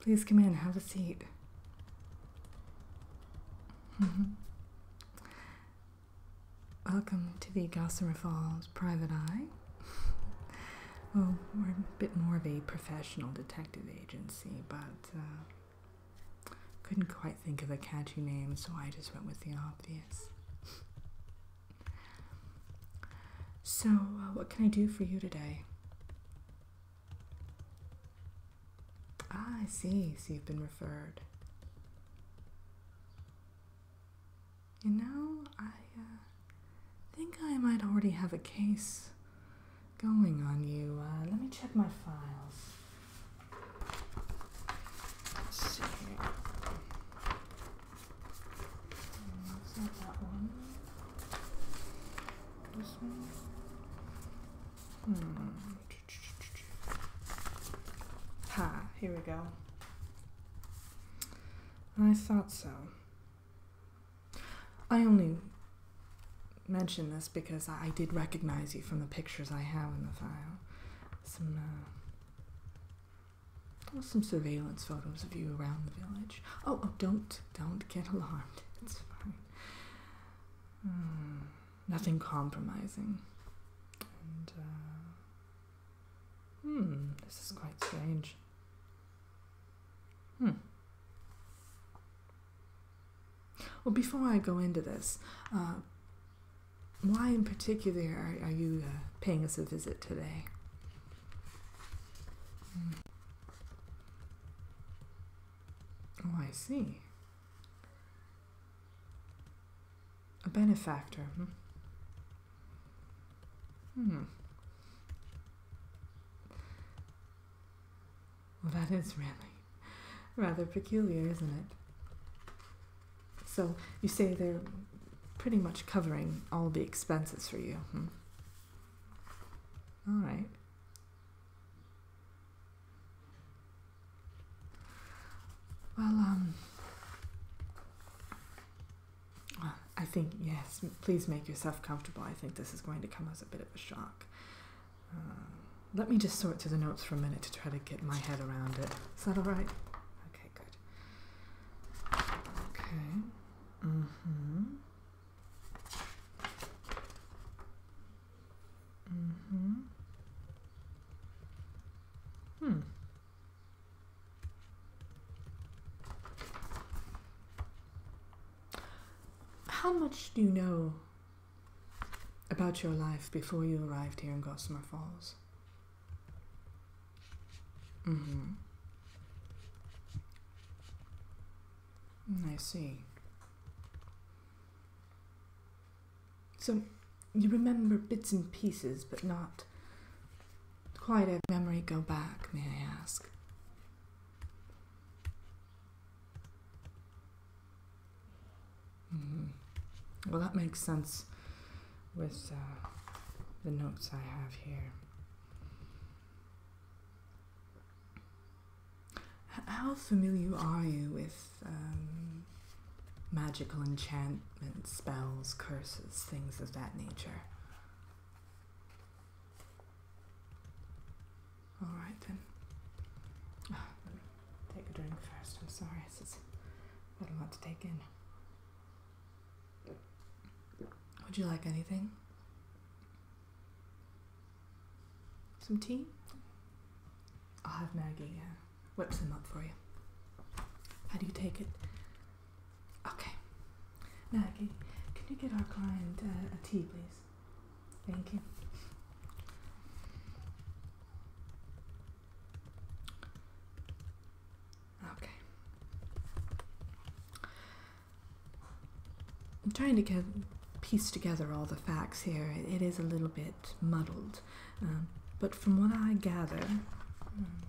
Please come in, have a seat. Mm-hmm. Welcome to the Gossamer Falls Private Eye. well, we're a bit more of a professional detective agency, but uh, couldn't quite think of a catchy name, so I just went with the obvious. So, uh, what can I do for you today? Ah, I see. So you've been referred. You know, I uh, think I might already have a case going on you. Uh, let me check my files. Let's see. Hmm, is that that one? This hmm. one. Ha, here we go. I thought so. I only mention this because I did recognize you from the pictures I have in the file. Some, uh, some surveillance photos of you around the village. Oh, oh, don't, don't get alarmed. It's fine. Hmm. nothing compromising. Uh, hmm, this is quite strange. Hmm. Well, before I go into this, uh, why in particular are, you uh, paying us a visit today? Hmm. Oh, I see. A benefactor. Hmm. hmm. Well, that is really rather peculiar, isn't it? So you say they're pretty much covering all the expenses for you. Hmm? All right. Well, um, I think, yes, please make yourself comfortable. I think this is going to come as a bit of a shock. Uh, let me just sort through the notes for a minute to try to get my head around it. Is that all right? Okay, good. Okay. Mm hmm hmm Hmm. How much do you know about your life before you arrived here in Gossamer Falls? Mm-hmm. Mm, I see. So you remember bits and pieces, but not quite a memory go back, may I ask? Mm. Well, that makes sense with uh, the notes I have here. How familiar are you with um, magical enchantments, spells, curses, things of that nature? Alright then. Oh, let me take a drink first. I'm sorry, this is what I'm about to take in. Would you like anything? Some tea? I'll have Maggie whip some up for you. How do you take it? Okay. Maggie, can you get our client uh, a tea, please? Thank you. Okay. I'm trying to get, piece together all the facts here. it is a little bit muddled. Um, but from what I gather, um,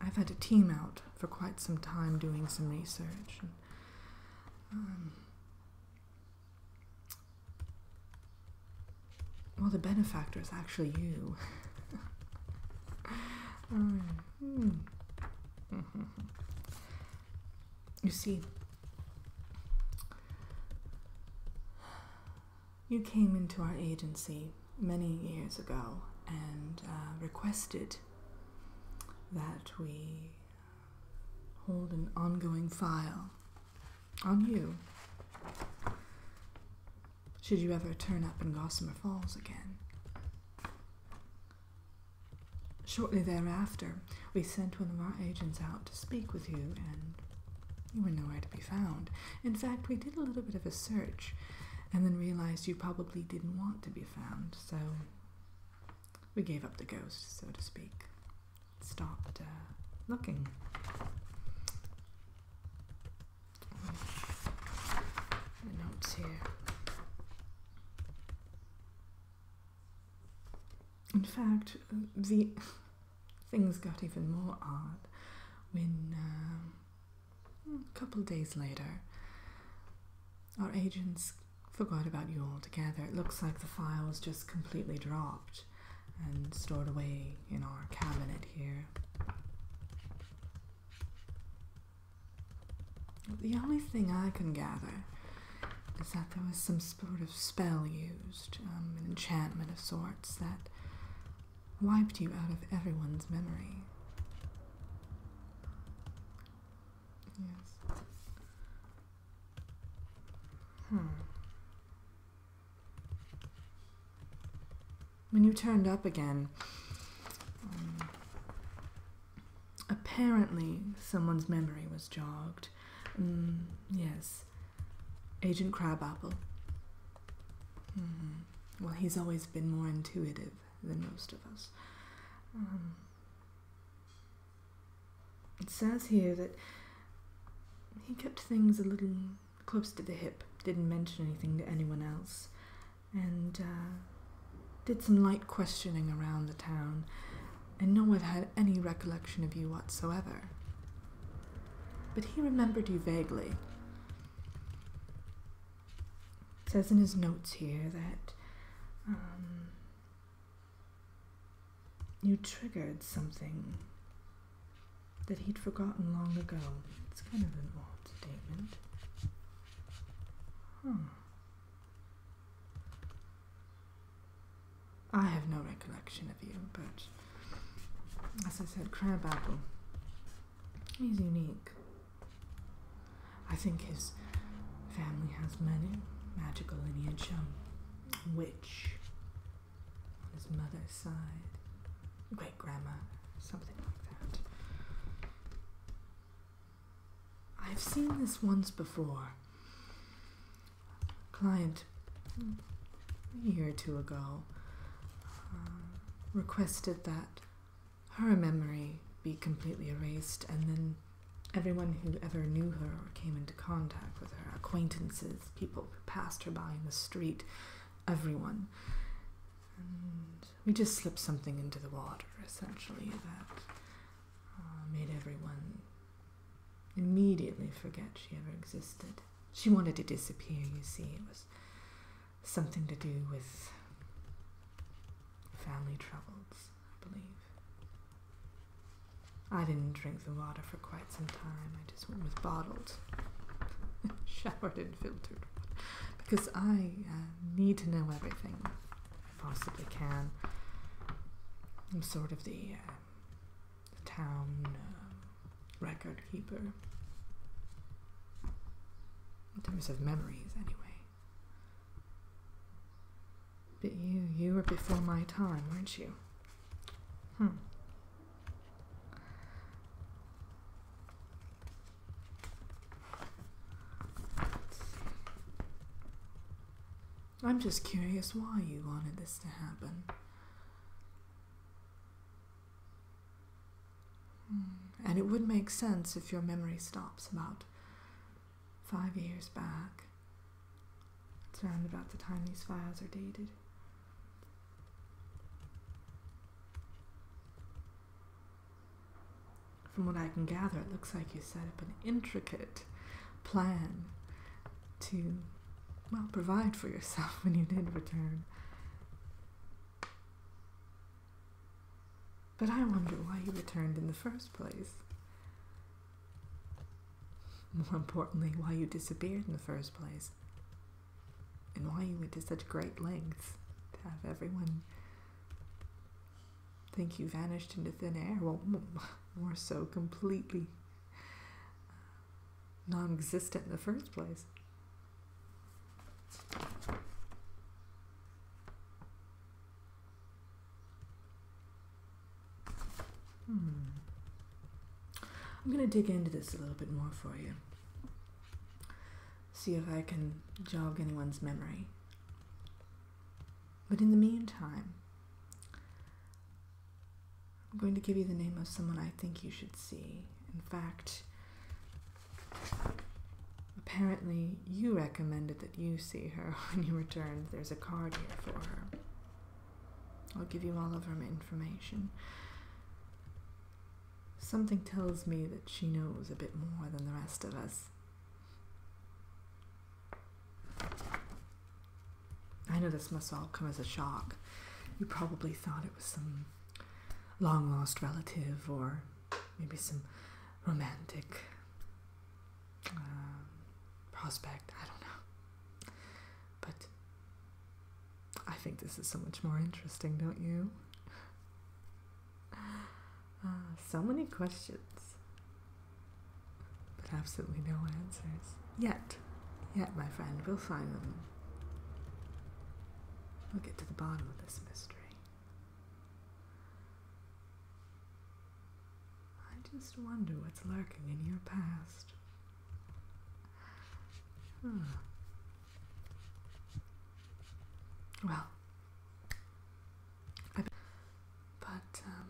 I've had a team out for quite some time doing some research. Um, well, the benefactor is actually you. Hmm. You see, you came into our agency many years ago and uh, requested that we uh, hold an ongoing file on you should you ever turn up in Gossamer Falls again. Shortly thereafter, we sent one of our agents out to speak with you, and you were nowhere to be found. In fact, we did a little bit of a search and then realized you probably didn't want to be found, so we gave up the ghost, so to speak. Stopped uh, looking notes here. In fact, uh, the things got even more odd when um, hmm, a couple days later our agents forgot about you altogether. It looks like the file was just completely dropped and stored away in our cabinet here. The only thing I can gather is that there was some sort of spell used, um, an enchantment of sorts, that wiped you out of everyone's memory. Yes. Hmm. When you turned up again, um, apparently someone's memory was jogged. Mm, yes, Agent Crabapple. Mm-hmm. Well, he's always been more intuitive than most of us. Um, it says here that he kept things a little close to the hip, didn't mention anything to anyone else, and uh, did some light questioning around the town, and no one had any recollection of you whatsoever. But he remembered you vaguely. It says in his notes here that um, you triggered something that he'd forgotten long ago. It's kind of an odd statement. Hmm. I have no recollection of you, but as I said, Crabapple, he's unique. I think his family has many magical lineage. Um, which, on his mother's side, great grandma, something like that. I've seen this once before. client a year or two ago uh, requested that her memory be completely erased and then Everyone who ever knew her or came into contact with her, acquaintances, people who passed her by in the street, everyone. we just slipped something into the water, essentially, that uh, made everyone immediately forget she ever existed. She wanted to disappear, you see. It was something to do with family troubles, I believe. I didn't drink the water for quite some time. I just went with bottled, showered in filtered water because I uh, need to know everything I possibly can. I'm sort of the, uh, town uh, record keeper in terms of memories, anyway. But you, you were before my time, weren't you? Hmm. I'm just curious why you wanted this to happen. Hmm. And it would make sense if your memory stops about five years back. It's around about the time these files are dated. From what I can gather, it looks like you set up an intricate plan to, well, provide for yourself when you did return. But I wonder why you returned in the first place. More importantly, why you disappeared in the first place. And why you went to such great lengths to have everyone think you vanished into thin air. Well, more so, completely uh, non existent in the first place. Hmm. I'm going to dig into this a little bit more for you. See if I can jog anyone's memory. But in the meantime, I'm going to give you the name of someone I think you should see. In fact, Apparently, you recommended that you see her when you returned. There's a card here for her. I'll give you all of her information. Something tells me that she knows a bit more than the rest of us. I know this must all come as a shock. You probably thought it was some long lost relative or maybe some romantic um, prospect. I don't know. But I think this is so much more interesting, don't you? Ah, so many questions, but absolutely no answers. Yet, yet, my friend, we'll find them. We'll get to the bottom of this mystery. I just wonder what's lurking in your past. Hmm. Well, but um,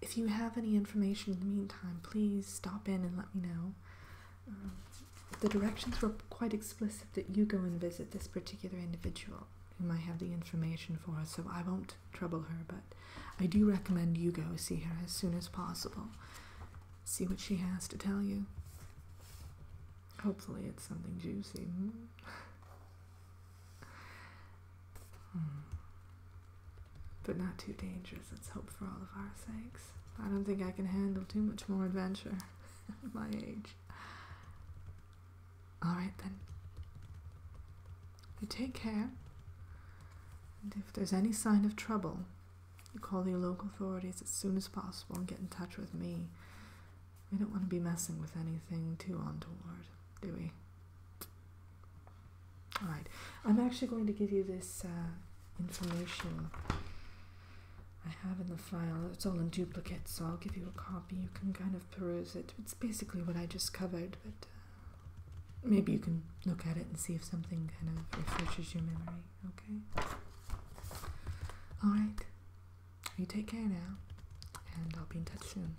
if you have any information in the meantime, please stop in and let me know. Um, the directions were quite explicit that you go and visit this particular individual who might have the information for us, so I won't trouble her, but I do recommend you go see her as soon as possible. See what she has to tell you. Hopefully, it's something juicy. Hmm. Hmm. But not too dangerous, let's hope for all of our sakes. I don't think I can handle too much more adventure. my age. Alright then. You take care, and if there's any sign of trouble, you call the local authorities as soon as possible and get in touch with me. We don't want to be messing with anything too untoward, do we? Alright, I'm actually going to give you this uh, information I have in the file. It's all in duplicate, so I'll give you a copy. You can kind of peruse it. It's basically what I just covered, but uh, maybe you can look at it and see if something kind of refreshes your memory, okay? Alright. You take care now, and I'll be in touch soon.